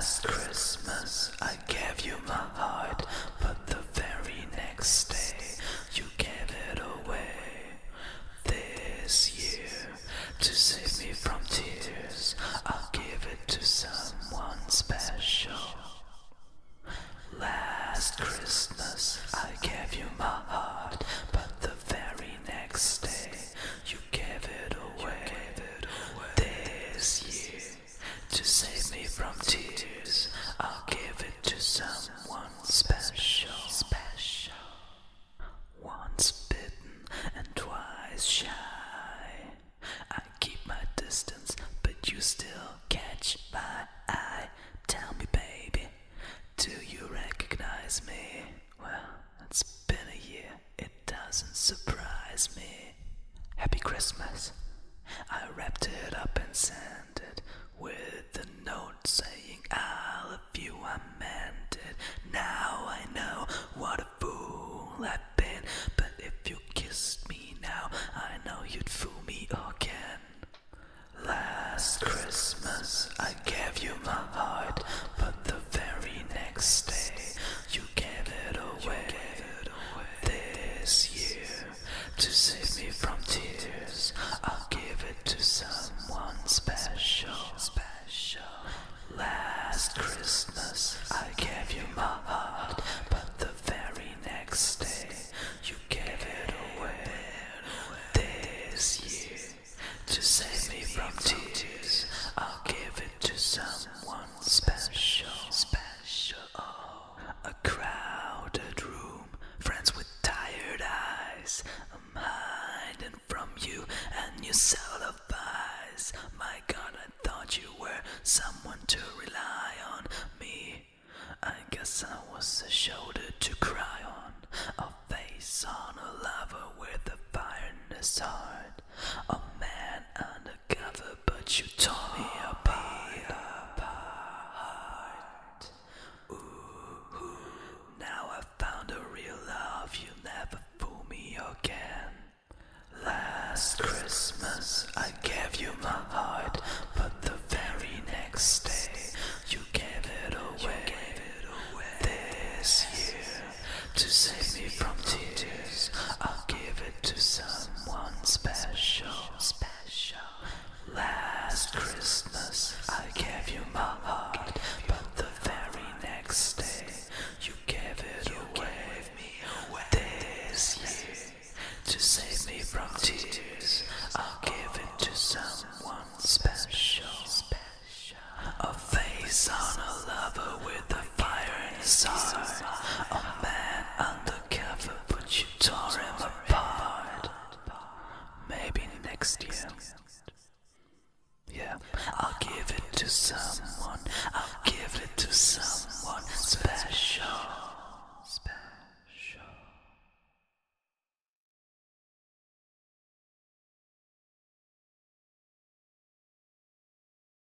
Last Christmas I gave you my heart, but the very next day you gave it away this year to save me from tears. I'll give it to someone special. Last Christmas I gave you my heart, but the very next day you gave it away. This year to save me from tears, I'll give it to someone special. special. Once bitten and twice shy. I keep my distance, but you still catch my eye. Tell me, baby, do you recognize me? Well, it's been a year, it doesn't surprise me. Happy Christmas. I wrapped it up and sent with a note saying, all of you, I meant it. Now I know what a fool I've been, but if you kissed me now, I know you'd fool me again. Last Christmas, I gave you my heart, but the very next day, you gave it away. This year, to save me from tears. I'll give it to someone special. Special. Last Christmas, I gave you my heart, but the very next day, you gave it away. This year, to save me from tears, I'll give it to someone special. Special. A crowded room, friends with tired eyes. I'm hiding from you and you a cellulize. My god, I thought you were someone to rely on me. I guess I was a shoulder to cry on, a face on a lover with a fire in his heart, a man undercover, but you tore me apart. Ooh, ooh, now I found a real love, you will never fool me again. Last Christmas I gave you my heart, but the very next day you gave it away. away. This year, to save me from tears, I'll give it to some someone special. Special. Last Christmas, I gave you my heart, but the very next day, you gave it away. This year, to save me from tears, I'll give it to someone special. A face on a lover will with the fire in A man undercover, but you tore him apart. Maybe next year. Yeah, I'll give it to someone. I'll give it to someone special. Special.